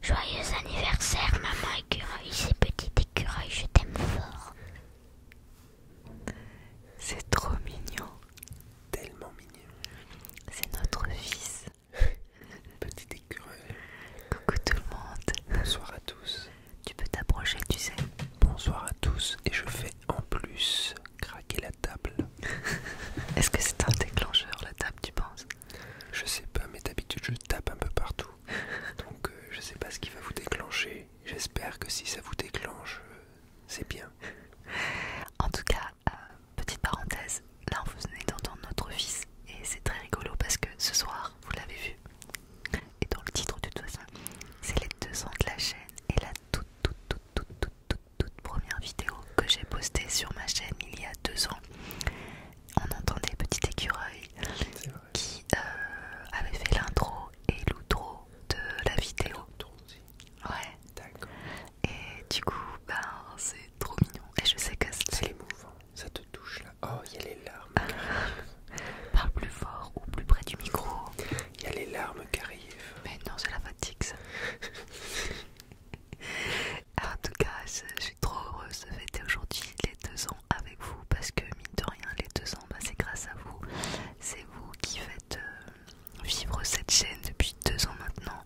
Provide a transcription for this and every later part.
Joyeux anniversaire, maman écureuil, c'est petit écureuil, je t'aime fort. C'est trop mignon. Tellement mignon. C'est notre fils. petit écureuil. Coucou tout le monde. Bonsoir à tous. Tu peux t'approcher, tu sais. Bonsoir à tous et je fais en plus craquer la table. Est-ce que c'est un déclencheur la table, tu penses je sais pas, mais d'habitude je tape un peu partout. Donc euh, je sais pas ce qui va vous déclencher. J'espère que si ça vous déclenche, euh, c'est bien. En tout cas, euh, petite parenthèse, là on vous venez d'entendre notre fils et c'est très rigolo parce que ce soir, vous l'avez vu, et dans le titre de toute c'est les deux ans de la chaîne et la toute, toute, toute, toute, toute, toute, toute première vidéo que j'ai postée sur ma chaîne il y a deux ans on entendait petit écureuil qui euh, avait fait l'intro et l'outro de la vidéo. Ah, et du coup, ben, c'est trop mignon. Et je sais que c'est émouvant. Ça te touche là. Oh, il y a les larmes. Parle plus fort ou plus près du micro. Il y a les larmes qui arrivent. Mais non, c'est la fatigue ça. En tout cas, je suis trop heureuse de fêter aujourd'hui les deux ans avec vous parce que, mine de rien, les deux ans, bah, c'est grâce à vous. C'est vous qui faites euh, vivre cette chaîne depuis deux ans maintenant.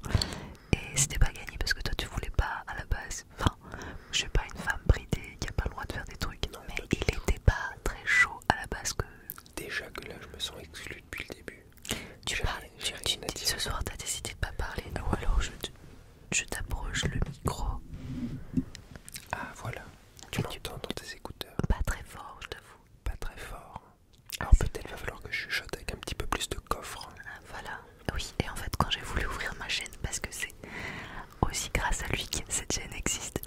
Et c'était pas gagné parce que toi, tu voulais pas à la base. Enfin, je suis pas une femme bridée qui a pas le droit de faire des trucs. Non, mais il était pas très chaud à la base que. Déjà que là, je me sens exclue depuis le début. Tu parles, tu, ce soir, t'as décidé de pas parler. Ah Ou alors, je je t'approche le micro. Ah voilà, tu m'entends dans tes écouteurs. Pas très fort, je t'avoue. Pas très fort. Ah, Alors peut-être va falloir que je chuchote avec un petit peu plus de coffre. Ah, voilà, oui, et en fait quand j'ai voulu ouvrir ma chaîne, parce que c'est aussi grâce à lui que cette chaîne existe.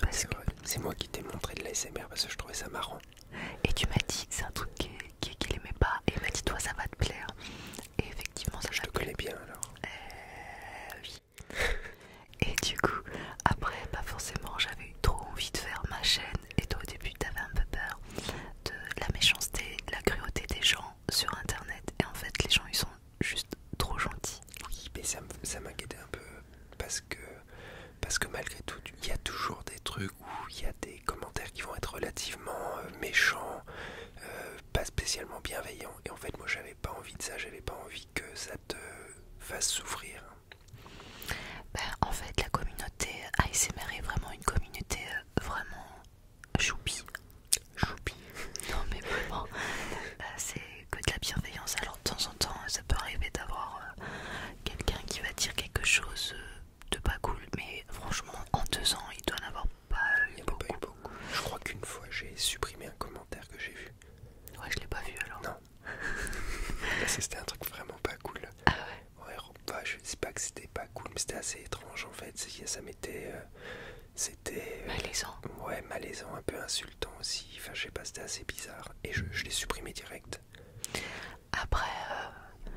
C'est moi qui t'ai montré de l'ASMR parce que je trouvais ça marrant. Et tu m'as dit que c'est un truc qui qu'il aimait pas et il dit toi ça va te plaire et effectivement ça je connais bien alors euh, oui et du coup après pas forcément j'avais eu trop envie de faire ma chaîne et toi au début t'avais un peu peur de la méchanceté la cruauté des gens sur internet et en fait les gens ils sont juste trop gentils oui mais ça m'inquiétait un peu parce que parce que malgré tout il y a toujours des trucs où il y a des commentaires qui vont être relativement euh, méchants euh, pas spécialement bienveillant. Et en fait, moi, j'avais pas envie de ça, j'avais pas envie que ça te fasse souffrir. Ben, en fait, la communauté ASMR est vraiment une communauté euh, vraiment choupi. Choupi. Non, mais vraiment, euh, c'est que de la bienveillance. Alors, de temps en temps, euh, ça peut arriver d'avoir quelqu'un qui va dire quelque chose de pas cool, mais franchement, en deux ans, il doit en avoir il y a beaucoup. Pas eu beaucoup. Je crois qu'une fois j'ai supprimé un commentaire que j'ai vu. Ouais, je l'ai pas vu alors. Non. c'était un truc vraiment pas cool. Ah ouais. ouais bah, je sais pas que c'était pas cool, mais c'était assez étrange en fait. Ça m'était. Euh, c'était. Euh, malaisant. Ouais, malaisant, un peu insultant aussi. Enfin, je sais pas, c'était assez bizarre. Et je, l'ai supprimé direct. Après, euh,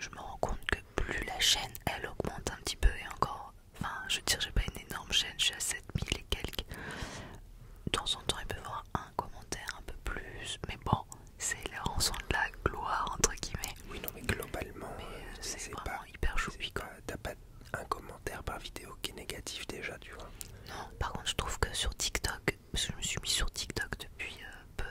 je me rends compte que plus la chaîne elle augmente un petit peu et encore enfin je veux dire j'ai pas une énorme chaîne je suis à 7000 et quelques de temps en temps il peut y avoir un commentaire un peu plus mais bon c'est la rançon de la gloire entre guillemets oui non mais globalement euh, c'est pas, hyper tu t'as pas un commentaire par vidéo qui est négatif déjà tu vois non par contre je trouve que sur TikTok parce que je me suis mis sur TikTok depuis euh, peu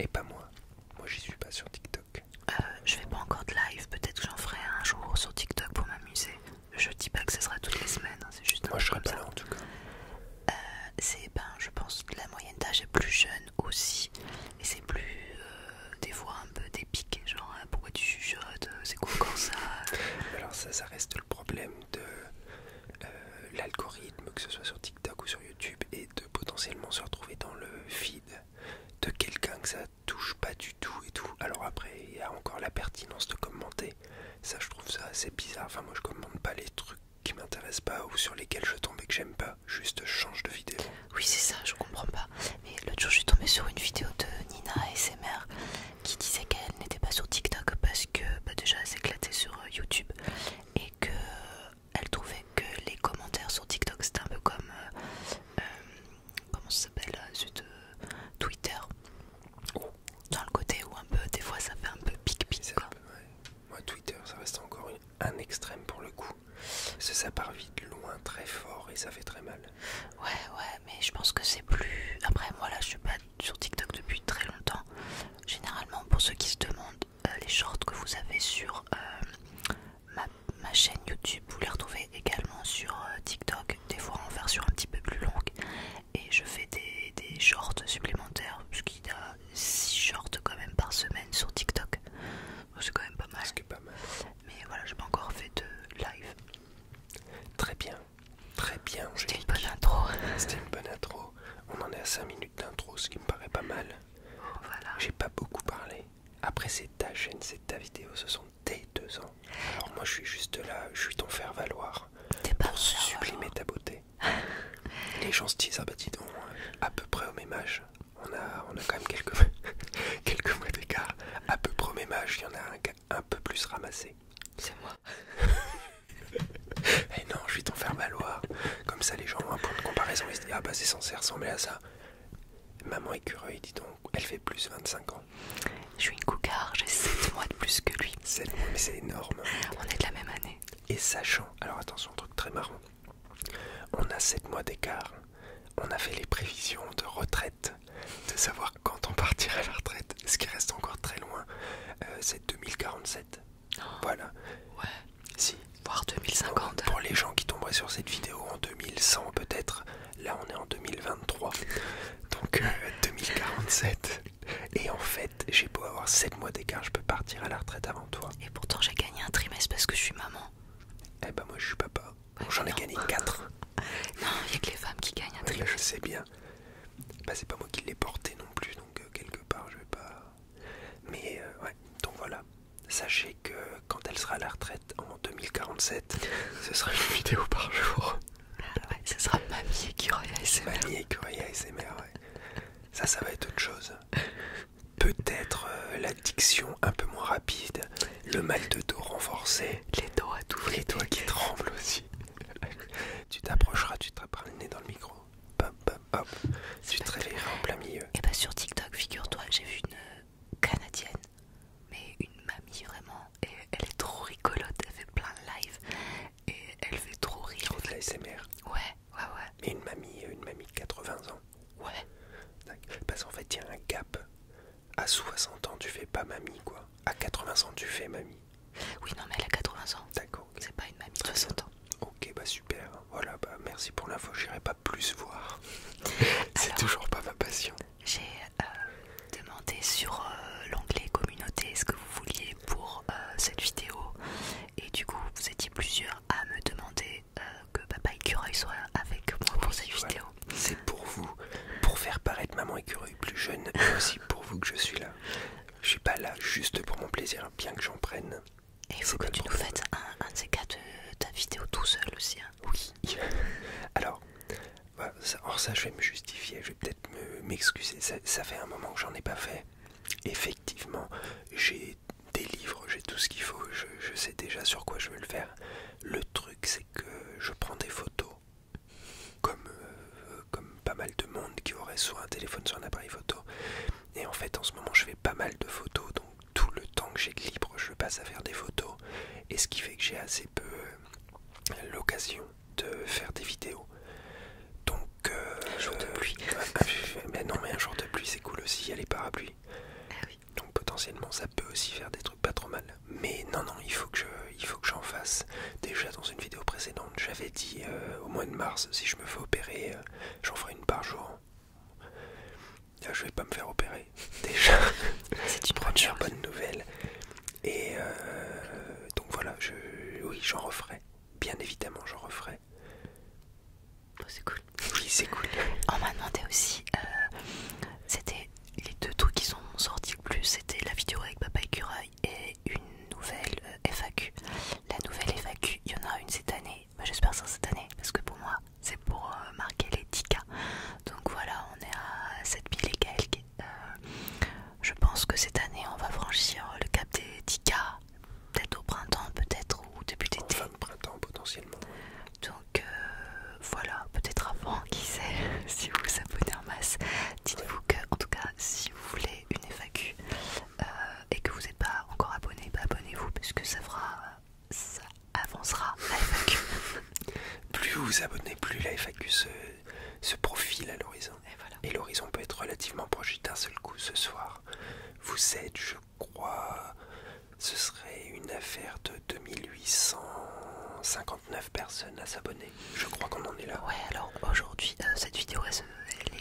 et pas moi moi j'y suis pas sur TikTok euh, je fais pas encore de live, peut-être que j'en ferai un jour sur TikTok pour m'amuser. Je dis pas que ce sera toutes les semaines, hein, c'est juste un Moi je serai pas là en tout cas. Euh, c'est ben, je pense que la moyenne d'âge est plus jeune aussi, et c'est plus euh, des voix un peu dépiquées, genre hein, pourquoi tu chuchotes, c'est quoi comme ça. Alors, ça, ça reste le problème de l'algorithme, que ce soit sur TikTok ou sur YouTube, et de potentiellement se retrouver dans le feed de quelqu'un que ça touche pas du tout et tout. Alors après, il y a encore la pertinence de commenter. Ça, je trouve ça assez bizarre. Enfin, moi, je commente pas les trucs qui m'intéressent pas ou sur lesquels je tombe et que j'aime pas. Juste change de vidéo. Oui, c'est ça, je comprends pas. Mais l'autre jour, je suis tombée sur une vidéo de Nina mères qui disait qu'elle n'était pas sur TikTok parce que pas bah, déjà, elle s'éclatait sur euh, YouTube et que elle trouvait que les commentaires sur TikTok c'était un peu comme euh, euh, comment ça s'appelle de euh, Twitter dans le côté où un peu des fois ça fait un peu pic pic quoi. Moi Twitter ça reste encore un extrême pour le coup. Parce ça part vite loin très fort et ça fait très mal. Ouais ouais mais je pense que c'est plus. Après moi là je suis pas sur TikTok depuis très longtemps. Généralement pour ceux qui se demandent les shorts que vous avez sur Ma, chaîne YouTube, vous les retrouvez également sur euh, TikTok, des fois en version un petit peu plus longue. Et je fais des, shorts supplémentaires, ce y a 6 shorts quand même par semaine sur TikTok. C'est quand même pas mal. pas Mais voilà, je n'ai pas encore fait de live. Très bien, très bien. C'était une bonne intro. C'était une bonne intro. On en est à 5 minutes d'intro, ce qui me paraît pas mal. Voilà. J'ai pas beaucoup parlé. Après, c'est ta chaîne, c'est ta vidéo, ce sont tes deux ans. Alors moi, je suis juste là, je suis ton faire-valoir pour pas sublimer ta beauté. Les gens se disent, ah bah dis donc, à peu près au même âge, on a, on a quand même quelques, quelques mois d'écart. À peu près au même âge, il y en a un qui un peu plus ramassé. C'est moi. Et eh non, je suis ton faire-valoir. Comme ça, les gens ont un point de comparaison, ils se disent, ah bah c'est censé ressembler à ça. Maman écureuil, dit donc, elle fait plus de 25 ans. Je suis une cougar, j'ai 7 mois de plus que lui. 7 mois, mais c'est énorme. On est de la même année. Et sachant, alors attention, un truc très marrant, on a 7 mois d'écart, on a fait les prévisions de retraite, de savoir quand on partirait à la retraite, ce qui reste encore très loin, euh, c'est 2047. voilà. Ouais. Si. Voire 2050. Pour les gens qui tomberaient sur cette vidéo en 2100 peut-être, là on est en 2023. Donc 2047. Euh, Et en fait, j'ai beau avoir 7 mois d'écart, je peux partir à la retraite avant toi. Et pourtant j'ai gagné un trimestre parce que je suis maman. Eh bah moi je suis papa. J'en ai gagné 4. non, il a que les femmes qui gagnent un trimestre. je sais bien. Bah c'est pas moi qui l'ai porté non plus, donc euh, quelque part je vais pas... Mais euh, ouais, donc voilà. Sachez que quand elle sera à la retraite en 2047, ce sera une vidéo par jour. Ah ce sera Mamie vie ASMR. Mamie Écureuil ASMR, ouais. Ça, ça va être autre chose. Peut-être euh, l'addiction un peu moins rapide, le mal de dos renforcé, les doigts à tout Les doigts qui tremblent aussi. tu t'approcheras, tu te rapprocheras le nez dans le micro. Hop, hop, hop. Tu te réveilleras en plein milieu. Et eh bah ben, sur TikTok, figure-toi, j'ai vu une, euh, canadienne, mais une mamie vraiment. Et elle est trop rigolote, elle fait plein de live et elle fait trop rire. C'est de la Ouais, ouais, ouais. Mais une mamie, une mamie de 80 ans. Ouais. Parce qu'en fait, il y a un gap. À 60 ans, tu fais pas mamie, quoi. À 80 ans, tu fais mamie. Oui, non, mais elle a 80 ans. D'accord. C'est pas une mamie de 60 ans. Ok, bah super voilà, bah, merci pour l'info, j'irai pas plus voir. C'est toujours pas ma passion. J'ai euh, demandé sur euh, l'anglais communauté ce que vous vouliez pour euh, cette vidéo, et du coup, vous étiez plusieurs à me demander que Papa Écureuil soit avec moi pour cette vidéo. C'est pour vous, pour faire paraître Maman Écureuil plus jeune, et aussi pour vous que je suis là. Je suis pas là juste pour mon plaisir, bien que j'en prenne. Et il faut que tu nous fasses un, de ces cas de euh, ta vidéo tout seul aussi. Hein. Oui. Alors, alors, bah, ça, je vais me justifier, je vais peut-être m'excuser. ça, fait un moment que j'en ai pas fait. Effectivement, j'ai des livres, j'ai tout ce qu'il faut, je, sais déjà sur quoi je veux le faire. Le truc, c'est que je prends des photos, comme, euh, comme pas mal de monde qui aurait soit un téléphone, soit un appareil photo. Et en fait, en ce moment, je fais pas mal de photos, donc tout le temps que j'ai de libre, je passe à faire des photos. Et ce qui fait que j'ai assez peu euh, l'occasion de faire des vidéos. Donc, euh, un jour de pluie. mais non, mais un jour de pluie, c'est cool aussi. Il y a les parapluies. Ah Donc, potentiellement, ça peut aussi faire des trucs pas trop mal. Mais non, non, il faut que il faut que j'en fasse. Déjà dans une vidéo précédente, j'avais dit euh, au mois de mars, si je me fais opérer, j'en ferai une par jour. Je vais pas me faire opérer. Déjà, c'est une bonne nouvelle. Et euh, donc voilà, oui, j'en referai. Bien évidemment, j'en referai. Oh, c'est cool. Oui, c'est cool. On m'a demandé aussi, euh, c'était les deux trucs qui sont sortis le plus, c'était la vidéo avec Papa Écureuil et une nouvelle euh, FAQ. La nouvelle FAQ, il y en aura une cette année bah, j'espère ça cette année, parce que pour moi, c'est pour euh, marquer les Donc voilà, on est à 7000 et quelques. Euh, je pense que cette année, on va franchir le cap des 10 peut-être au printemps, peut-être au début d'été. printemps potentiellement. Donc euh, voilà, peut-être avant, qui sait, si vous vous abonnez en masse. Dites-vous que, en tout cas, si vous voulez une FAQ et que vous n'êtes pas encore abonné, bah, abonnez-vous, parce que ça fera ça avancera plus vous vous abonnez, plus la FAQ se, profile à l'horizon. Et l'horizon peut être relativement proche d'un seul coup ce soir. Vous êtes, je crois, ce serait une affaire de 2859 personnes à s'abonner. Je crois qu'on en est là. Ouais, alors aujourd'hui, euh, cette vidéo est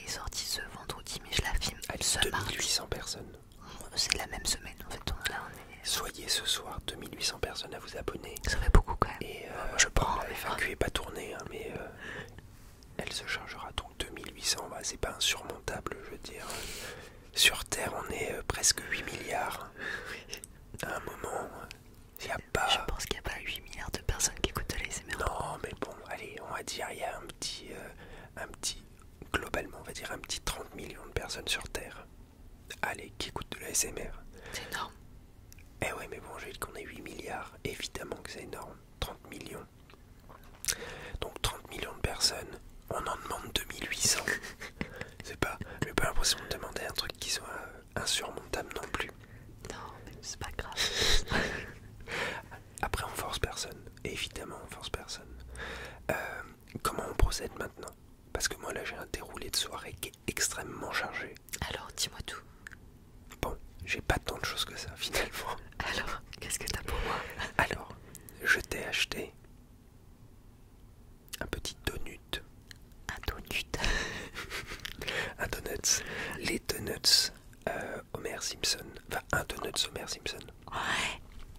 sortie ce vendredi, mais je la filme. Elle ce 2800 800 personnes c'est la même semaine en fait. Soyez ce soir 2800 personnes à vous abonner. Ça fait beaucoup quand même. Et euh, ah, je prends. La pas tournée, hein, mais euh, elle se chargera donc 2800. Bah, c'est pas insurmontable, je veux dire. Sur Terre, on est euh, presque 8 milliards. à un moment, il n'y a pas. Je pense qu'il n'y a pas 8 milliards de personnes qui écoutent les Non, mais bon, allez, on va dire, il y a un petit. un petit globalement, on va dire un petit 30 millions de personnes sur Terre. Allez, qui écoute de la SMR. C'est énorme. Eh oui, mais bon, je dis qu'on est 8 milliards. Évidemment que c'est énorme. 30 millions. Donc 30 millions de personnes, on en demande 2800. c'est pas... J'ai pas l'impression de demander un truc qui soit insurmontable non plus. Non, mais c'est pas grave. Après, on force personne. Évidemment, on force personne. Euh, comment on procède maintenant Parce que moi là j'ai un déroulé de soirée qui est extrêmement chargé. Alors dis-moi tout. Bon, j'ai pas tant de choses que ça finalement. Alors, qu'est-ce que t'as pour moi Alors, je t'ai acheté un petit donut. Un donut Un donuts. Les donuts euh, Homer Simpson. Enfin, un donut Homer Simpson.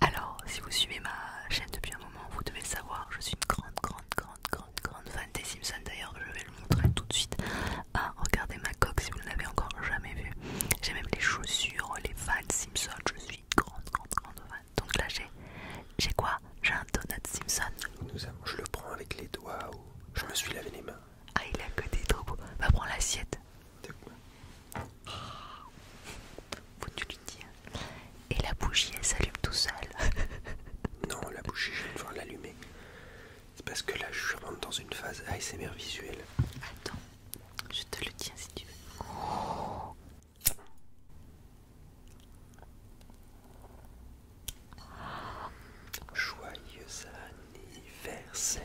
Alors, si vous suivez ma chaîne depuis un moment, vous devez le savoir, je suis une grande, grande, grande, grande, grande fan des Simpsons. D'ailleurs, je vais le montrer tout de suite. Ah, regardez ma coque si vous ne l'avez encore jamais vue. J'ai même les chaussures, les fans Simpson. Je suis grande, grande, grande fan. Donc là, j'ai j'ai quoi J'ai un donut Simpson. je le prends avec les doigts je me suis lavé les mains. Ah, il a que des trop va bah, prendre l'assiette quoi ah, Faut-tu le Et la bougie, elle s'allume tout seul. non, la bougie, je vais devoir l'allumer. C'est parce que là, je rentre dans une phase ASMR visuelle. Attends, je te le tiens si tu veux. Joyeux anniversaire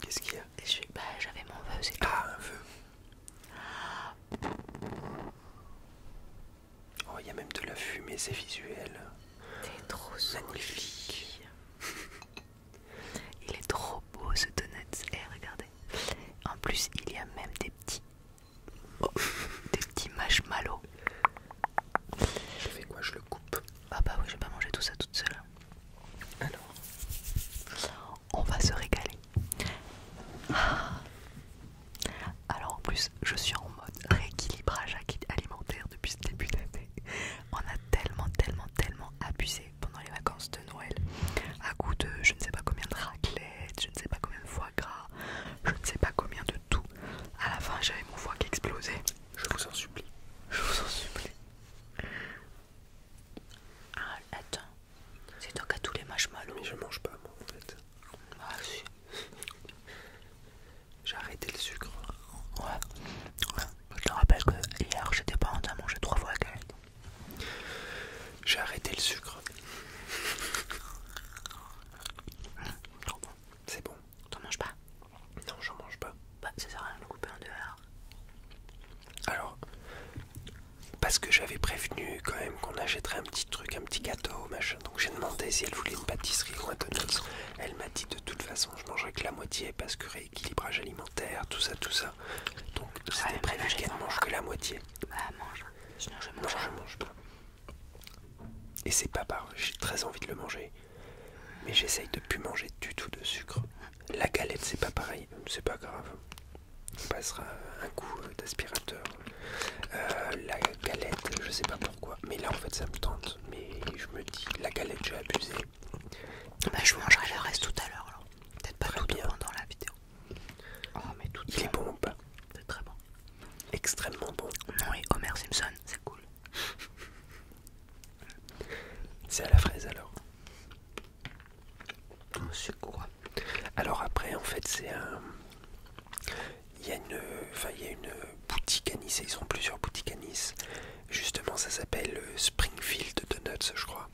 Qu'est-ce qu'il y a bah, j'avais mon vœu, c'est Ah, un vœu. Oh, il y a même de la fumée, c'est visuel. T'es trop magnifique. il est trop beau ce donut. Et eh, regardez. En plus, il y a même des petits, oh, des petits marshmallows je fais quoi Je le coupe. Ah bah oui, je j'ai pas manger tout ça toute seule. Alors, on va se régaler. Ah. Alors en plus, je suis en mode rééquilibrage alimentaire depuis ce début d'année. On a tellement, tellement, tellement abusé pendant les vacances de Noël. À coup de je ne sais pas combien de raclette, je ne sais pas combien de foie gras, je ne sais pas combien de tout. À la fin, j'avais mon foie qui explosait. Je vous en supplie. Je vous en supplie. Ah, attends, c'est toi qui as tous les marshmallows. Mais je mange pas, moi, en fait. Ah, si. J'ai arrêté le sucre. Ouais. Je te rappelle que hier, j'étais pas en train de manger trois fois la J'ai arrêté le sucre. C'est bon. T'en manges pas Non, j'en mange pas. Bah, ça sert à rien de le couper en deux alors. Alors, parce que j'avais prévenu quand même qu'on achèterait un petit truc, un petit gâteau, machin. Donc j'ai demandé si elle voulait une pâtisserie ou un donut. Elle m'a dit de toute façon, je mangerai que la moitié parce que rééquilibrage alimentaire, tout ça, tout ça. Donc c'était prévenu prévu ne mange que la moitié. Bah, mange. Sinon, je mange. Non, je mange pas. Et c'est pas pareil. j'ai très envie de le manger, mais j'essaye de plus manger du tout de sucre. La galette, c'est pas pareil, c'est pas grave. On passera un coup d'aspirateur. Euh, la galette, je sais pas pourquoi, mais là en fait ça me tente. Mais je me dis, la galette, j'ai abusé. Bah, je mangerai le reste tout à l'heure, alors. Peut-être pas tout bien. dans la vidéo. mais tout Il est bon ou pas C'est très bon. Extrêmement bon. Non, et Homer Simpson, c'est cool. C'est à la fraise alors. Alors après en fait c'est un... Il y, a une... boutique à Nice, ils ont plusieurs boutiques à Nice. Justement ça s'appelle euh, Springfield Donuts je crois.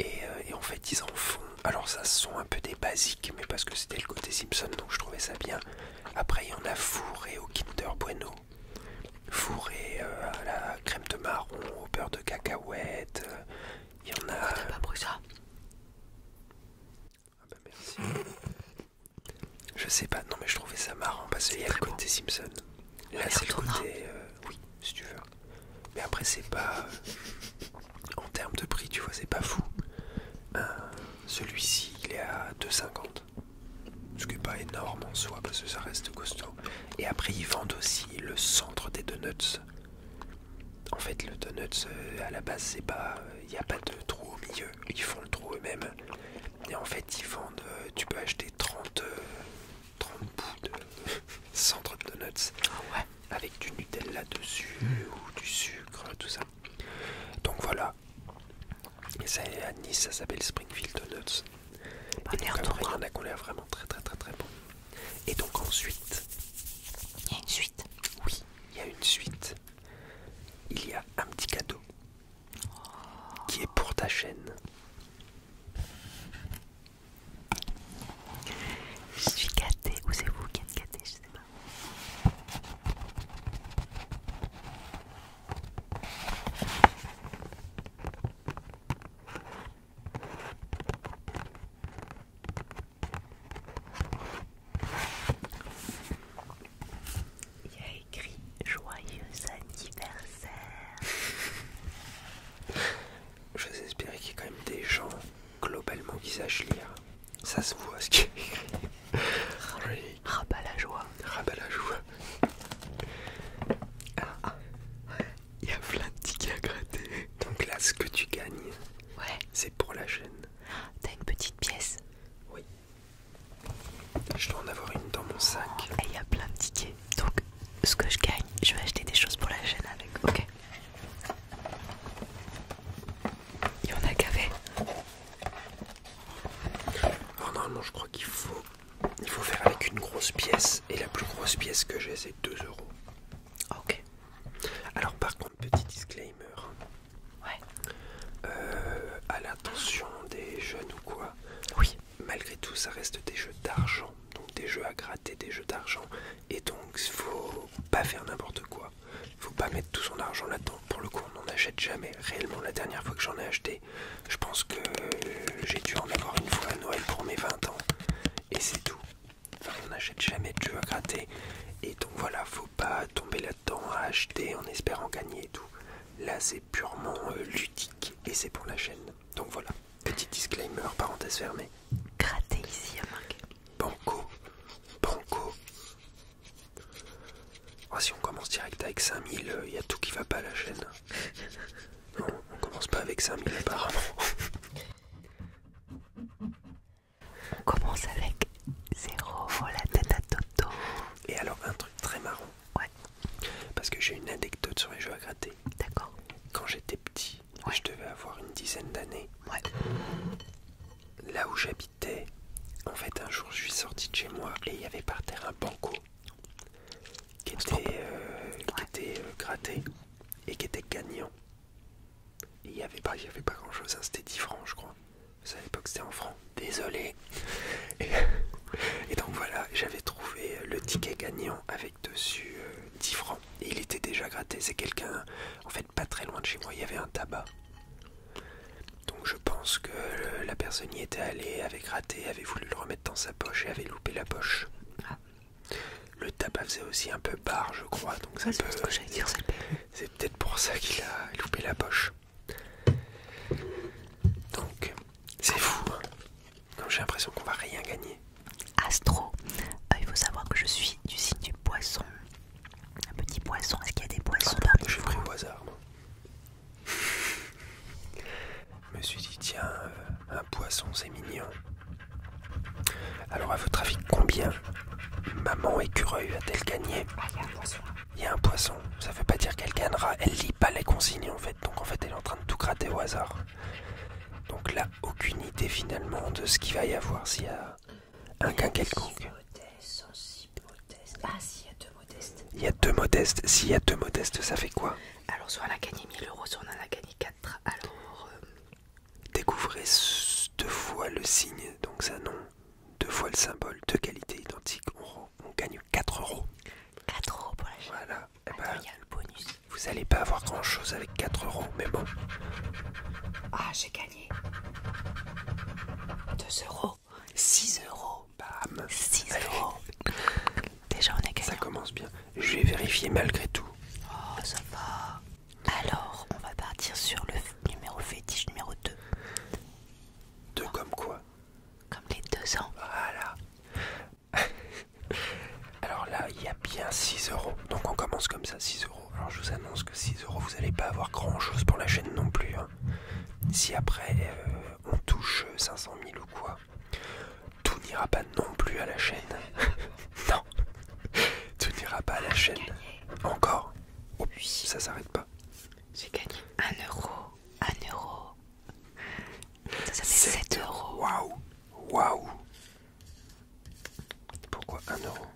Et, euh, et en fait ils en font... Alors ça sont un peu des basiques mais parce que c'était le côté Simpson donc je trouvais ça bien. Après, il y en a fourré au Kinder Bueno, fourré euh, à la crème de marron, au beurre de cacahuète. Euh, il y en a. Oh, pas ça Ah bah merci. Je sais pas, non mais je trouvais ça marrant parce qu'il y a le côté Simpson. Là, c'est le côté. Euh, oui, si tu veux. Mais après, c'est pas. en termes de prix, tu vois, c'est pas fou. Celui-ci, il est à 2,50. Ce qui n'est pas énorme en soi parce que ça reste costaud. Et après ils vendent aussi le centre des donuts. En fait le donuts euh, à la base c'est pas. Il n'y a pas de trou au milieu. Ils font le trou eux-mêmes. Et en fait ils vendent. Euh, tu peux acheter 30, euh, bouts de centre de donuts. Ah avec du Nutella dessus ou du sucre, tout ça. Donc voilà, ça est à Nice, ça s'appelle Springfield Donuts. et donc il a qu'on vraiment très très très très bon. Et donc ensuite... Il y a une suite Oui, il y a une suite. Il y a un petit cadeau oh. qui est pour ta chaîne. Je suis gâtée, ou c'est vous qui êtes gâtée, je sais pas. Il a écrit joyeux anniversaire. Je espérer qu'il y ait quand même des gens globalement qui sachent lire. Ça se voit ce qui est écrit. Rabat la joie. Rabat la joie. Ah, ah. Il y a plein de tickets à gratter. Donc là, ce que tu gagnes, c'est pour la chaîne. T'as une petite pièce Oui. Je dois en avoir une dans mon sac. Oh, et il y a plein de tickets. Donc, ce que je gagne, je vais acheter des choses pour la chaîne avec. Ok. Il y en a fait. Alors oh, normalement je crois qu'il faut, il faut faire avec une grosse pièce et la plus grosse pièce que j'ai c'est 2 euros. Ah, ok. Alors par contre petit disclaimer. Ouais. Euh, à l'attention des jeunes ou quoi. Oui. Malgré tout ça reste des jeux d'argent. Donc des jeux à gratter, des jeux d'argent. Et donc faut pas faire n'importe quoi faut pas mettre tout son argent là-dedans. Pour le coup, on n'en achète jamais. Réellement, la dernière fois que j'en ai acheté, je pense que j'ai dû en avoir une fois à Noël pour mes 20 ans. Et c'est tout. Enfin, on n'achète jamais de jeux à gratter. Et donc voilà, faut pas tomber là-dedans à acheter en espérant gagner et tout. Là, c'est purement euh, ludique et c'est pour la chaîne. Donc voilà, petit disclaimer, parenthèse fermée. Gratter ici, à Banco, banco, Oh, si on commence direct avec 5000, il euh, y a tout qui va pas à la chaîne. Non, on commence pas avec 5000 apparemment. On commence avec 0, la tête à Toto. Et alors, un truc très marrant. Parce que j'ai une anecdote sur les jeux à gratter. D'accord. Quand j'étais petit, je devais avoir une dizaine d'années. Là où j'habite en fait, un jour, je suis sorti de chez moi et il y avait par terre un banco qui était, euh, euh, gratté et qui était gagnant. Il n'y avait pas, avait pas grand chose, hein. c'était 10 francs, je crois. À l'époque, c'était en francs, désolé. Et, donc voilà, j'avais trouvé euh, le ticket gagnant avec dessus 10 francs. il était déjà gratté. C'est quelqu'un, en fait, pas très loin de chez moi, il y avait un tabac. Donc je pense que la personne y était allée, avait gratté, avait voulu le remettre dans sa poche et avait loupé la poche. Ah. Le tabac faisait aussi un peu barre, je crois, donc ça C'est peut-être pour ça qu'il a loupé la poche. Donc, c'est fou. Hein. Comme j'ai l'impression qu'on va rien gagner. Astro, euh, il faut savoir que je suis du signe du poisson. Un petit poisson, est-ce qu'il y a des poissons ah, pris au hasard. Je me suis dit, tiens, euh, un poisson, c'est mignon. Alors, à votre avis, combien Maman écureuil ah, a t elle gagné Il y a un poisson. Ça veut pas dire qu'elle gagnera. Elle lit pas les consignes, en fait. Donc, en fait, elle est en train de tout gratter au hasard. Donc là, aucune idée finalement de ce qu'il va y avoir s'il y a un gain il y a deux modestes. S'il y a deux modestes, ça fait quoi Alors, soit on a gagné 1000 euros, soit on en a gagné 4. Alors. Euh, Découvrez deux fois le signe, donc ça nom, Deux fois le symbole, deux qualités identiques. On, gagne 4 euros. 4 euros pour la chaîne. Voilà. Et eh ben, il y a le bonus. Vous n'allez pas avoir grand chose avec 4 euros, mais bon. Ah, j'ai gagné 2 euros. 6 euros. Bam. 6 euros. Déjà, on est gagné. Ça commence bien. Je vais vérifier malgré tout. Oh, ça va. Alors, on va partir sur le numéro fétiche numéro 2. 2 ah. comme quoi Comme les deux ans. Voilà. Alors là, il y a bien 6 euros. Donc on commence comme ça, 6 euros. Alors je vous annonce que 6 euros, vous n'allez pas avoir grand chose pour la chaîne non plus. Hein. Si après euh, on touche 500 000 ou quoi, tout n'ira pas non plus à la chaîne. non, tout n'ira pas à la chaîne. Encore. Oh, oui. Ça s'arrête pas. J'ai gagné 1 euro. 1 euro. Ça, c'est fait 7, 7 euros. Waouh. Waouh. Pourquoi 1 euro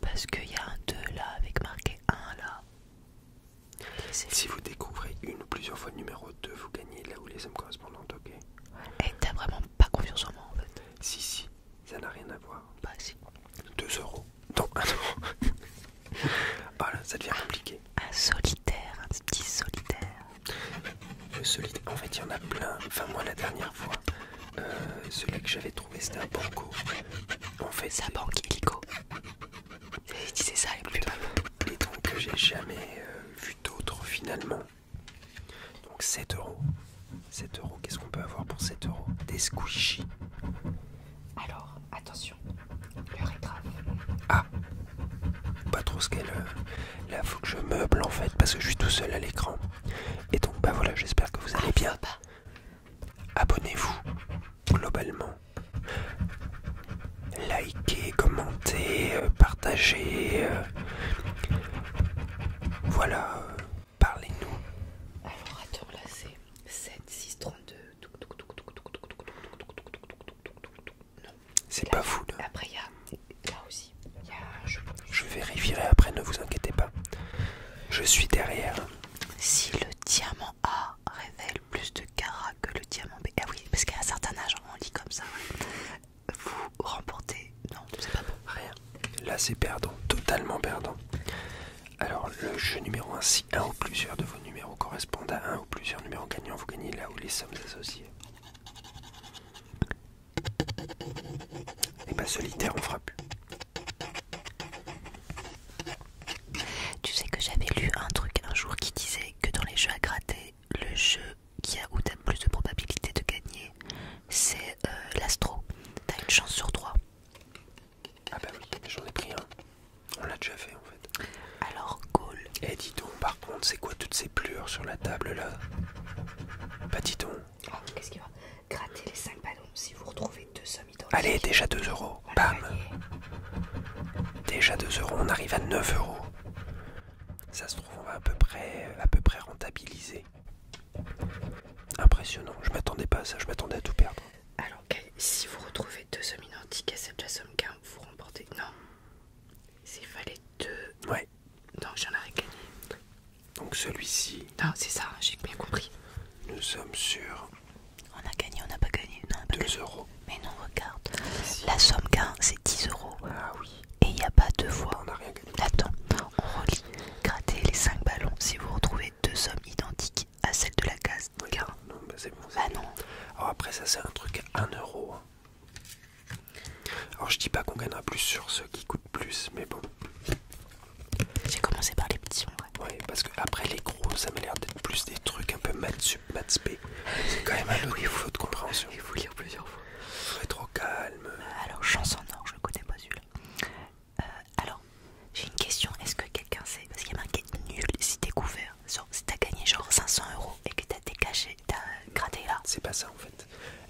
Parce qu'il y a un 2 là avec marqué 1 là. Si vous découvrez une ou plusieurs fois le numéro 2, vous gagnez là où les sommes correspondantes, ok Et t'as vraiment pas confiance en moi en fait Si, si, ça n'a rien à voir. Bah si. 2 euros. Non, 1 euro. voilà, ça devient compliqué. Un solitaire, un petit solitaire. Un solitaire, en fait il y en a plein. Enfin, moi la dernière fois, euh, celui que j'avais trouvé c'était un banco. On fait, c'est un banque c'est ça plus que euh, j'ai jamais euh, vu d'autres finalement. Donc 7 euros. 7 euros, qu'est-ce qu'on peut avoir pour 7 euros Des squishies. Alors, attention, l'heure est grave. Ah Pas trop ce qu'elle. Euh, là, faut que je meuble en fait, parce que je suis tout seul à l'écran. Et donc, bah voilà, j'espère que vous ah, allez bien. Abonnez-vous globalement. Likez, commentez, partagez. Voilà, parlez-nous. Alors attends, là c'est 7, 6, 32. C'est pas fou Après il y a là aussi. Je vérifierai après, ne vous inquiétez pas. Je suis derrière. Si le diamant A révèle plus de carats que le diamant B. Ah oui, parce qu'à un certain âge, on lit comme ça. Vous remportez. Non, pas Rien. Là, c'est perdant, totalement perdant. Alors, le jeu numéro 1, si un ou plusieurs de vos numéros correspondent à un ou plusieurs numéros gagnants, vous gagnez là où les sommes associées. Et bah, solitaire, on fera plus tu sais que j'avais lu un truc un jour qui disait que dans les jeux à gratter, le jeu qui a où t'as plus de probabilité de gagner, c'est euh, l'astro. T'as une chance sur trois. Ah bah oui, j'en ai pris un. On l'a déjà fait en fait. Alors, goal. Eh dis donc, par contre, c'est quoi toutes ces plures sur la table là Pas bah, dis donc. Oh, qu'est-ce qu'il va gratter les 5 ballons. Si vous retrouvez deux Allez, déjà 2 euros. Bam. Déjà 2 euros, on arrive à 9 euros. Ça se trouve, on va à peu près, à peu près rentabiliser. Impressionnant, je m'attendais pas à ça, je m'attendais à tout perdre. Alors, si vous retrouvez deux sommes identiques à celle de somme qu'un, vous remportez. Non, Il fallait deux. Ouais. Donc j'en aurais gagné. Donc celui-ci. Non, c'est ça, j'ai bien compris. Nous sommes sur on a gagné, on n'a pas gagné. 2 euros. Mais non, regarde. La somme gain, c'est 10 euros. Ah oui. Et il n'y a pas deux fois. On a rien gagné. Attends, on relit. Grattez les 5 ballons si vous retrouvez deux sommes identiques à celle de la case Non, bah c'est bon. Ah non. Alors après, ça, c'est un truc à 1 euro. Hein. Alors je dis pas qu'on gagnera plus sur ceux qui coûtent plus, mais bon. J'ai commencé par les petits. Ouais. parce que après les gros, ça m'a l'air d'être plus des trucs un peu maths sub maths p. C'est quand même un autre niveau de compréhension. Il faut lire plusieurs fois. Faut être calme. Euh, alors chance en or, je connais pas celui Euh, alors, j'ai une question. Est-ce que quelqu'un sait Parce qu'il y a marqué nul si t'es couvert. Genre, si t'as gagné genre 500 euros et que t'as dégagé, t'as gratté là. C'est pas ça en fait.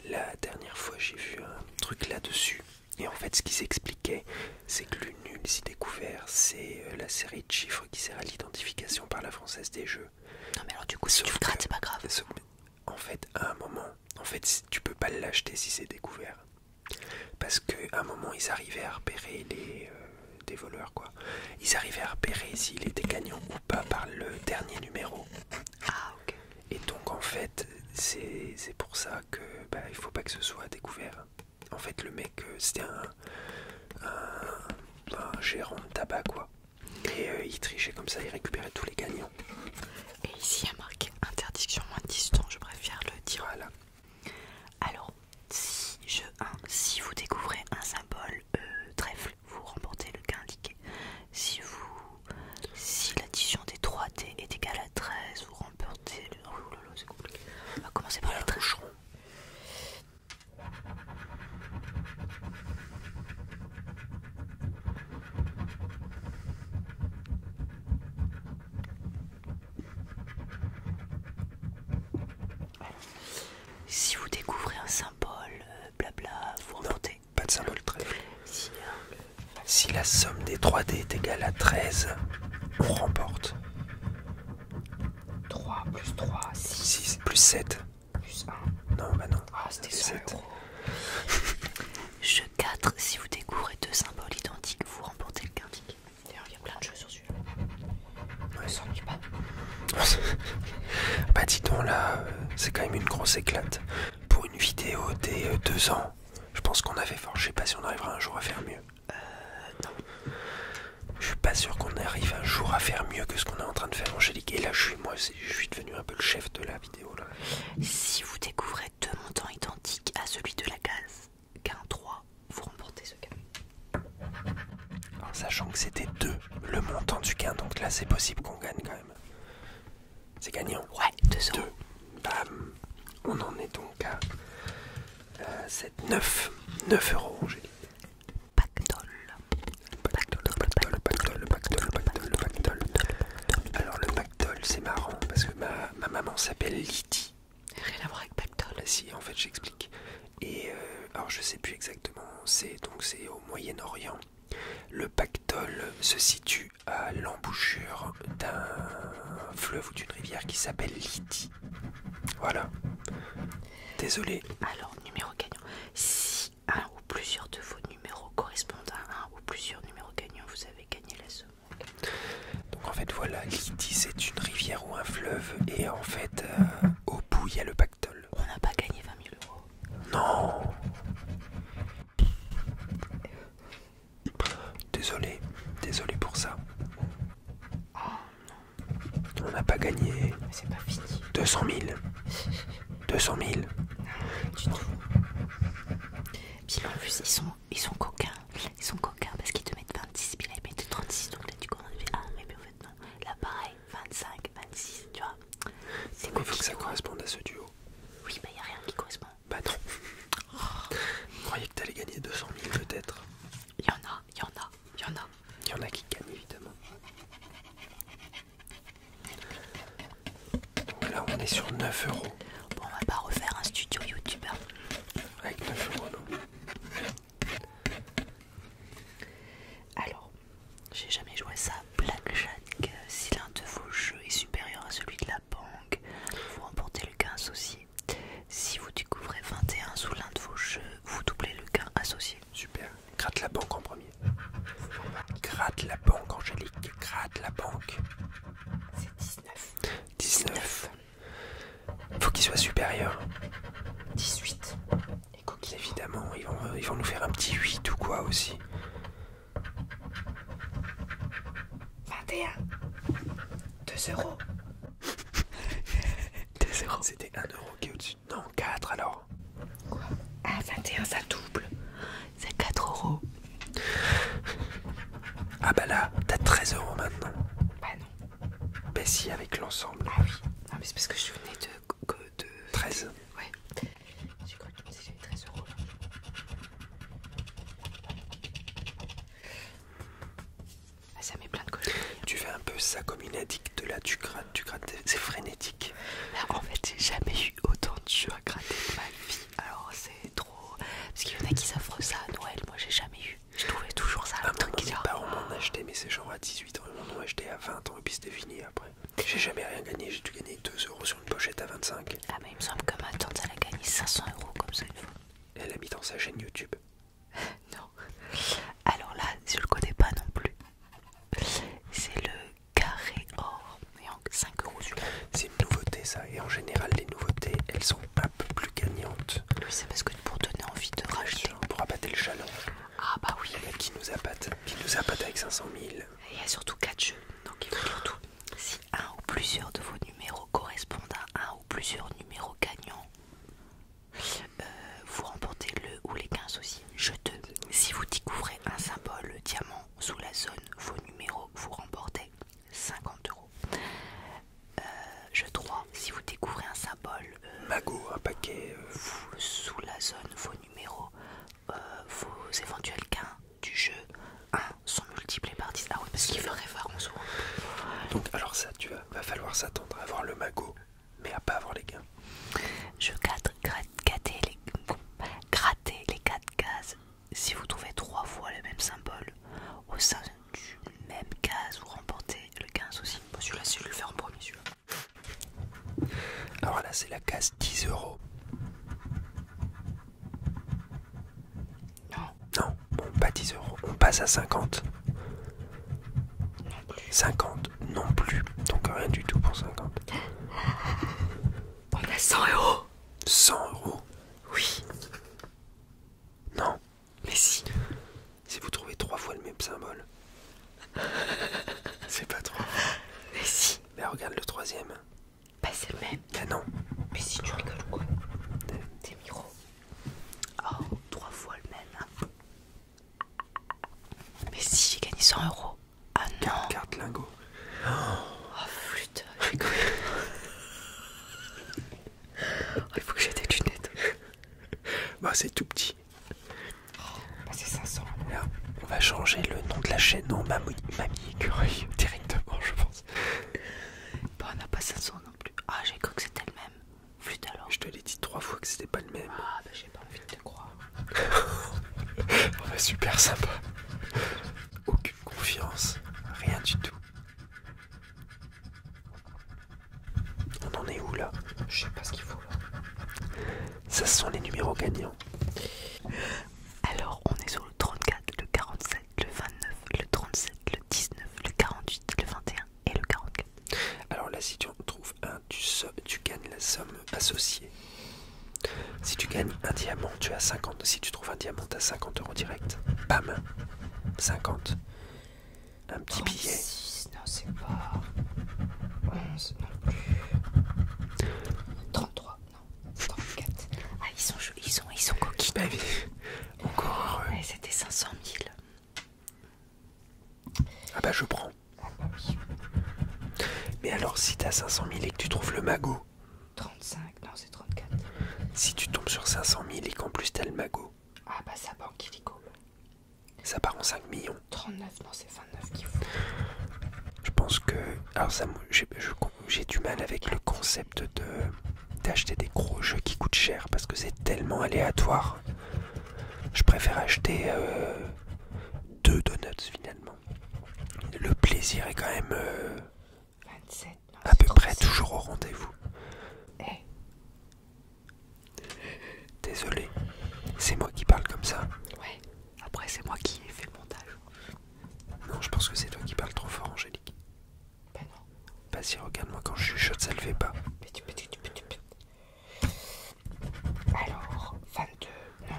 La dernière fois, j'ai vu un truc là-dessus. Et en fait, ce qui s'expliquait, c'est que le nul si découvert, c'est euh, la série de chiffres qui sert à l'identification par la française des jeux. Non mais alors du coup si tu le c'est pas grave. En fait à un moment, en fait tu peux pas l'acheter si c'est découvert. Parce qu'à un moment ils arrivaient à repérer les, euh, des voleurs quoi. Ils arrivaient à repérer s'il était gagnant ou pas par le dernier numéro. Ah ok. Et donc en fait c'est pour ça que bah, il faut pas que ce soit découvert en fait le mec euh, c'était un, gérant de tabac quoi et euh, il trichait comme ça il récupérait tous les gagnants et ici il y a marqué interdiction moins distant. 10 je préfère le dire voilà alors si je hein, si vous découvrez un symbole euh, trèfle vous remportez le cas indiqué si vous si l'addition des 3D est égale à 13 vous remportez le oh c'est compliqué on va commencer par le trèfle si vous découvrez un symbole, euh, blabla, vous remportez. Pas de symbole 13. Hein. Si, la somme des 3D est égale à 13, on remporte. 3 plus 3, 6. 6 plus 7. Plus 1. Non, bah non. Ah, c'était 7. Jeu 4, si vous découvrez deux symboles identiques, vous remportez le quintique. D'ailleurs, il y a plein de jeux sur celui-là. Ouais, ça s'ennuie pas. bah, dis donc, là, euh, c'est quand même une grosse éclate. Pour une vidéo des 2 euh, ans, je pense qu'on avait fort. Je sais pas si on arrivera un jour à faire mieux. Euh, non. Je suis pas sûr qu'on arrive un jour à faire mieux que ce qu'on est en train de faire, Angélique. Et là, je suis moi, je suis devenu un peu le chef de la vidéo. Là. Si vous découvrez deux montants identiques à celui de la case gain 3 vous remportez ce gain En sachant que c'était 2 le montant du gain, donc là c'est possible qu'on gagne quand même. C'est gagnant. Ouais, 2 Bam. On en est donc à 7 euh, c'est 9, 9 euros, j'ai Alors le pactole, c'est marrant parce que ma, maman s'appelle Lydie. Rien à voir avec pactole. Bah, si, en fait, j'explique. Et euh, alors je sais plus exactement, c'est donc c'est au Moyen-Orient. Le pactole se situe à l'embouchure d'un fleuve ou d'une rivière qui s'appelle Lydie. Voilà. Désolé. Alors, numéro gagnant. Si un ou plusieurs de vos numéros correspondent à un ou plusieurs numéros gagnants, vous avez gagné la seconde Donc en fait voilà, dit c'est une rivière ou un fleuve et en fait euh, au bout il y a le pactole. On n'a pas gagné 20 000 euros. Non Désolé, désolé pour ça. Oh, non. On n'a pas gagné. c'est pas fini. 200 000. 200 000. Puis en plus, ils sont, ils sont coquins. Ils sont coquins parce qu'ils te mettent 26, puis là ils mettent 36. Donc là, tu commences, à Ah, mais en fait, non. Là, pareil, 25, 26, tu vois. C'est quoi Il faut que ça corresponde à ce duo. Oui, bah y'a rien qui correspond. Bah non. Vous oh. croyez que t'allais gagner 200 000 peut-être. Il y en a il y en a, il y en a. Il y en a qui gagnent évidemment. Donc là on est sur 9 euros. Bon on va pas refaire un studio youtubeur. Hein. Avec 9 euros non. Alors, j'ai jamais joué ça. Blackjack, euh, si l'un de vos jeux est supérieur à celui de la banque, vous remportez le gain associé. Si vous découvrez 21 sous l'un de vos jeux, vous doublez le gain associé. Super. Gratte la banque en premier. Gratte la banque, Angélique. Gratte la banque. C'est 19. 19. Faut qu'il soit supérieur. 18. Et Évidemment, ils vont nous faire un petit 8 ou quoi aussi. 21. 2 euros. C'était 1 qui est au-dessus. Non, 4 alors. Quoi Ah, tient, ça double. C'est 4 Ah bah là, t'as 13€ maintenant. Bah non. Bah si, avec l'ensemble. Ah oui. Non ah, mais c'est parce que je venais de... de... 13 Ouais. J'ai cru que j'avais 13€. Ah, ça plein de hein. Tu fais un peu ça comme une addict, là tu grattes, tu grattes, c'est frénétique. Bah, en fait, j'ai jamais eu autant de jeux à gratter de ma vie, alors c'est trop. Parce qu'il y en a qui s'offrent ça à Noël, moi j'ai jamais eu. Je trouvais toujours ça. À ah, un truc en on m'en mais c'est genre à 18 ans, ils m'en acheté à 20 ans et puis c'était fini après. J'ai jamais rien gagné, j'ai dû gagner 2 euros sur une pochette à 25. Ah, mais il me semble que ma tante elle a gagné 500 euros comme ça une fois. Elle a mis dans sa chaîne YouTube. non. Alors là, je le connais pas non plus. C'est le carré or. Et en 5 euros C'est une nouveauté ça. Et en général, les nouveautés, elles sont un peu plus gagnantes. Oui, c'est parce que pour donner envie de racheter. pour abattre le chalon. Ah bah oui. Le qui nous abatte, qui nous battu avec 500 000. Et il y a surtout 4 jeux. Donc il faut surtout. Si un ou plusieurs de vos numéros correspondent à un ou plusieurs numéros gagnants, euh, vous remportez le ou les 15 aussi. Je 2, Si vous découvrez un symbole diamant sous la zone, vos numéros, vous remportez 50 euros. Euh, je 3. Si vous découvrez un symbole. magot euh, Mago, un paquet. sous la zone, vos numéros, vos éventuels gains du jeu 1 sont multipliés par 10. Ah oui, parce qu'il veut sous. Donc, alors ça, tu va falloir s'attendre à avoir le magot, mais à pas avoir les gains. Je gratte, les, gratter les quatre cases si vous trouvez trois fois le même symbole au sein du même case, vous remportez le 15 aussi. celui-là, je vais le faire en premier, Alors là, c'est la case 10 euros. Non, Bon, pas 10 euros, on passe à 50. 50 non plus, donc rien du tout pour 50. On a 100 euros 100 euros Oui. Non. Mais si. Si vous trouvez trois fois le même symbole. C'est pas trop. Mais si. Mais regarde le troisième. Bah c'est le même. Bah non. Mais si tu rigoles ou quoi ben. T'es miro. Oh, trois fois le même. Mais si, j'ai gagné 100 euros. Ah non. Carte lingot. Oh, putain, oh, il faut que j'aie des lunettes. Bah, c'est tout petit. Oh, bah, c'est 500. on va changer le nom de la chaîne en Mamie Écureuil directement, je pense. Bah, on n'a pas 500 non plus. Ah, j'ai cru que c'était le même alors Je te l'ai dit trois fois que c'était pas le même. Ah bah j'ai pas envie de te croire. oh bah super sympa. Aucune confiance, rien du tout. On en est où là Je sais pas ce qu'il faut là. Ça sont les numéros gagnants. Alors on est sur le 34, le 47, le 29, le 37, le 19, le 48, le 21, et le 44. Alors là, si tu en trouves un, tu, gagnes la somme associée. Si tu gagnes un diamant, tu as 50. Si tu trouves un diamant, tu as 50 euros direct. Bam 50. Un petit billet. Non, c'est pas. Ouais, non plus. 33, non. 34. Ah, ils sont, ils ils sont coquins. Bah, oui. Encore. C'était 500 000. Ah bah je prends. Mais alors si t'as 500 000 et que tu trouves le magot 35, non c'est 34. Si tu tombes sur 500 000 et qu'en plus t'as le magot Ah bah ça en illico. Ça part en 5 millions. 39, non c'est 29 qu'il faut. Je pense que... Alors ça, j'ai du mal avec le concept de d'acheter des gros jeux qui coûtent cher parce que c'est tellement aléatoire. Je préfère acheter euh, deux donuts finalement. Le plaisir est quand même euh, à peu près toujours au rendez-vous. Eh. Désolé, c'est moi qui parle comme ça. Ouais, après c'est moi qui ai fait le montage. Non, je pense que c'est toi qui parle trop fort, Angélique. Bah non. Vas-y, regarde-moi quand je suis chaude, ça le fait pas. Alors, 22, non.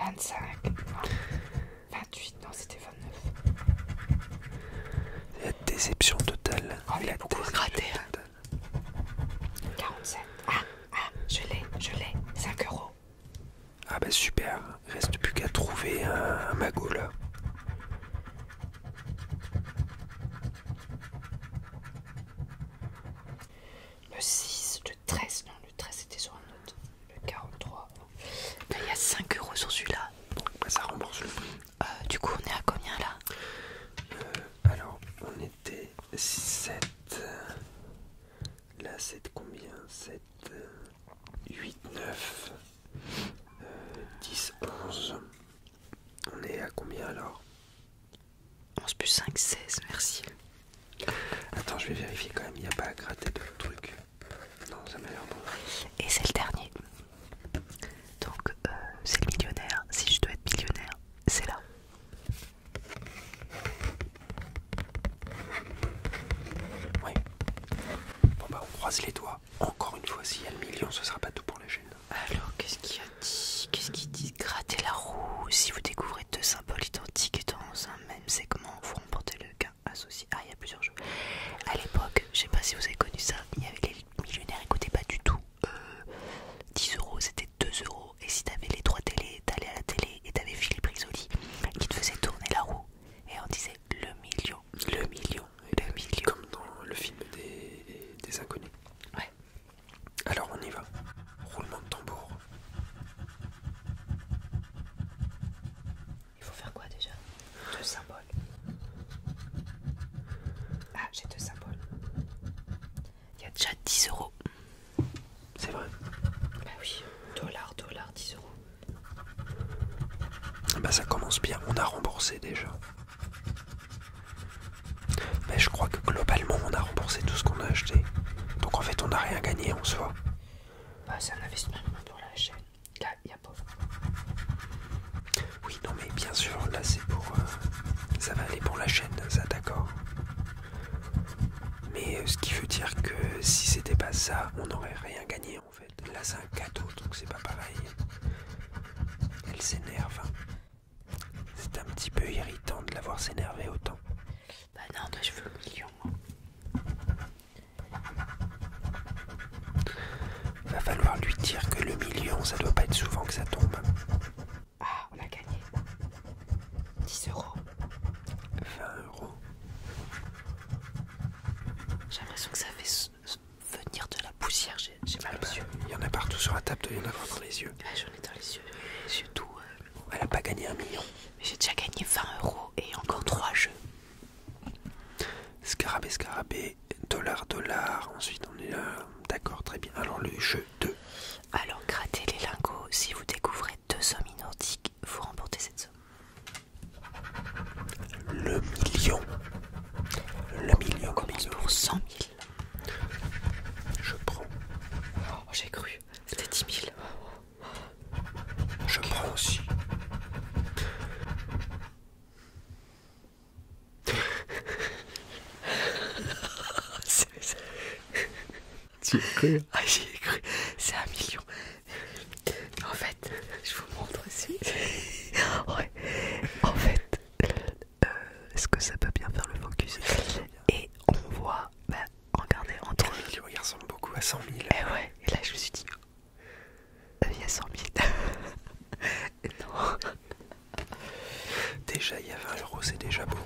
25, non. 28, non, c'était 29. La déception totale. il a beaucoup gratté. 47. Ah, ah, je l'ai, je l'ai. 5 euros. Ah bah super, reste plus qu'à trouver un, un là. Le 6, le 13, non le 13 c'était sur un autre, le 43. Bah, il y a 5 euros sur celui-là. Bah, ça rembourse le prix. Euh, du coup on est à combien là euh, Alors on était 7. Là 7 combien 7, 8, 9. 10, euh, 11. On est à combien alors 11 plus 5, 16, merci. Attends, je vais vérifier quand même, il n'y a pas à gratter de truc. Non, ça m'a l'air bon. Et c'est le dernier. Donc, euh, c'est le millionnaire. Si je dois être millionnaire, c'est là. Oui. Bon, bah, on croise les doigts encore une fois, s'il y a le million, ce sera pas tout pour la chaîne. Alors, qu'est-ce qu'il a dit Qu'est-ce qu'il dit Grattez la roue. Si vous découvrez deux symboles identiques dans un même segment, vous remportez le gain associé. Ah, il y a plusieurs jeux. À l'époque, je sais pas si vous avez connu ça, il y avait les millionnaires, Écoutez, pas du tout. 10 euh, euros, c'était 2 euros. Et si t'avais les trois télés, t'allais à la télé et t'avais Philippe rizoli qui te faisait tourner la roue. Et on disait le million, le million, le million. Comme dans le film des, inconnus. Ouais. Alors on y va. Roulement de tambour. Il faut faire quoi déjà Deux symboles. Ah, j'ai deux symboles. Il y a déjà 10 euros. C'est vrai Bah oui, dollar, dollar, 10 euros. Bah ça commence bien, on a remboursé déjà. Mais je crois que globalement on a remboursé tout ce qu'on a acheté. Donc en fait on n'a rien gagné en soi. Bah c'est un investissement pour la chaîne. Oui non mais bien sûr, là c'est pour... Euh, ça va aller pour la chaîne, ça d'accord. Mais euh, ce qui veut dire que si c'était pas ça, on n'aurait rien gagné. Là, c'est un cadeau, donc c'est pas pareil. Elle s'énerve. Hein. C'est un petit peu irritant de l'avoir s'énerver autant. Bah non, toi, je veux le million. Va falloir lui dire que le million, ça doit pas être souvent que ça tombe. Ah, on a gagné. 10 euros. 20 euros. J'ai l'impression que ça fait venir de la poussière, j'ai mal aux Il y en a partout sur la table, il y en a dans les yeux. Ah, j'en ai dans les yeux, les tout. Euh, Elle a pas gagné un million. J'ai déjà gagné 20 euros et encore 3 jeux. Scarabée, scarabée, dollar, dollar. Ensuite, on est là. D'accord, très bien. Alors, le jeu 2. Alors, grattez les lingots. Si vous découvrez deux sommes identiques, vous remportez cette somme. Le million. Le million. combien commence million. pour 100 000. Je prends. Oh, J'ai cru. C'était 10 000. Je prends aussi. J'y ai cru. Ah, j'y cru. C'est un million. En fait, je vous montre aussi. Oh, en fait, euh, est-ce que ça peut bien faire le focus Et on voit, bah, regardez, entre. eux, il ressemble beaucoup à 100 000. Et ouais, et là je me suis dit, euh, il y a 100 000. non. Déjà, il y a 20 euros, c'est déjà beau.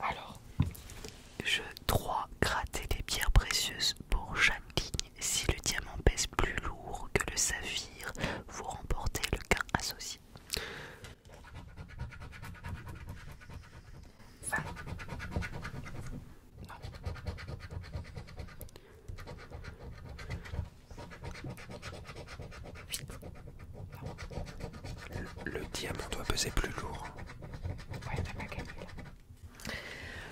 Alors, je dois gratter les pierres précieuses pour chaque si le diamant pèse plus lourd que le saphir, vous remportez le gain associé. Le, diamant doit peser plus lourd. Ouais,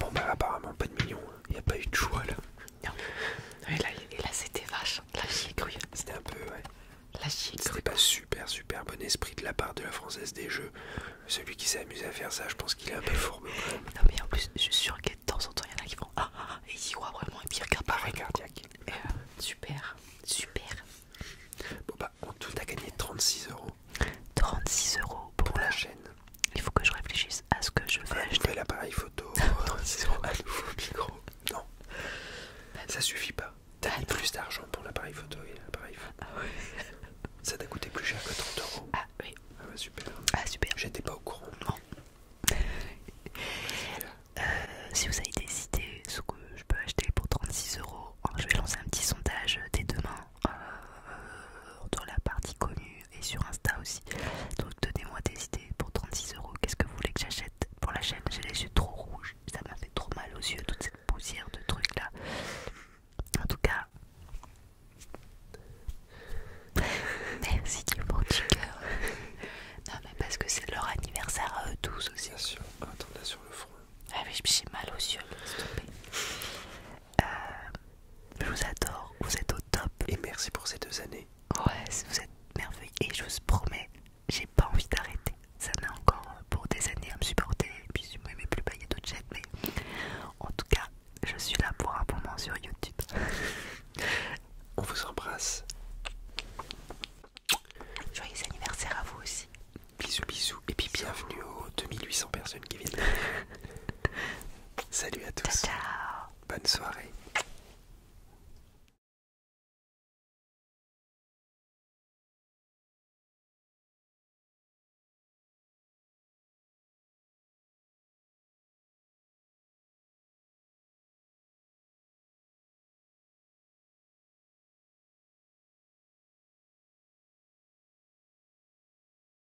Bon bah apparemment pas de mignon, hein. il n'y a pas eu de choix là. Non. Et là, c'était vache, hein. la j'y C'était un peu, ouais. Là j'y C'était pas super super bon esprit de la part de la Française des Jeux. Celui qui s'est amusé à faire ça, je pense qu'il est un peu fourbe. Non mais en plus, je suis sûr que de temps en temps, il y en a qui font Ah, ah, ah et ils y croient vraiment, et puis regardent cardiaque. Euh, super, super. Bon bah, en tout, a gagné 36 euros. 36 euros pour la chaîne. Il faut que je réfléchisse à ce que je vais Je acheter. l'appareil photo, euh, C'est nouveau micro. Non, ça suffit pas. T'as mis plus d'argent pour l'appareil photo et l'appareil photo. Ah ça t'a coûté plus cher que 30 euros. Ah oui. Ah super. Ah super. J'étais pas au courant. Non. Euh, si vous avez des idées, ce que je peux acheter pour 36 euros, je vais lancer un petit sondage dès demain dans euh, la partie connue et sur Insta aussi. Donc donnez-moi des idées pour 36 euros. Qu'est-ce que vous voulez que j'achète pour la chaîne J'ai les yeux trop rouges. Ça m'a fait trop mal aux yeux, toute cette poussière de trucs là. En tout cas, merci du bon cœur. Non, mais parce que c'est leur anniversaire à eux tous aussi. Bien sur le front. Ah oui, j'ai mal aux yeux, euh, je vous adore, vous êtes au top. Et merci pour ces deux années. Ouais, vous êtes merveilleux. Et je vous promets, j'ai pas envie d'arrêter. Ça m'a encore euh, pour des années à me supporter. Et puis je m'aimais plus, pas bah, il y Mais en tout cas, je suis là pour un moment sur YouTube. On vous embrasse. Joyeux anniversaire à vous aussi. Bisous, bisous. Et puis bienvenue aux 2800 personnes qui viennent. Salut à tous. Bonne soirée.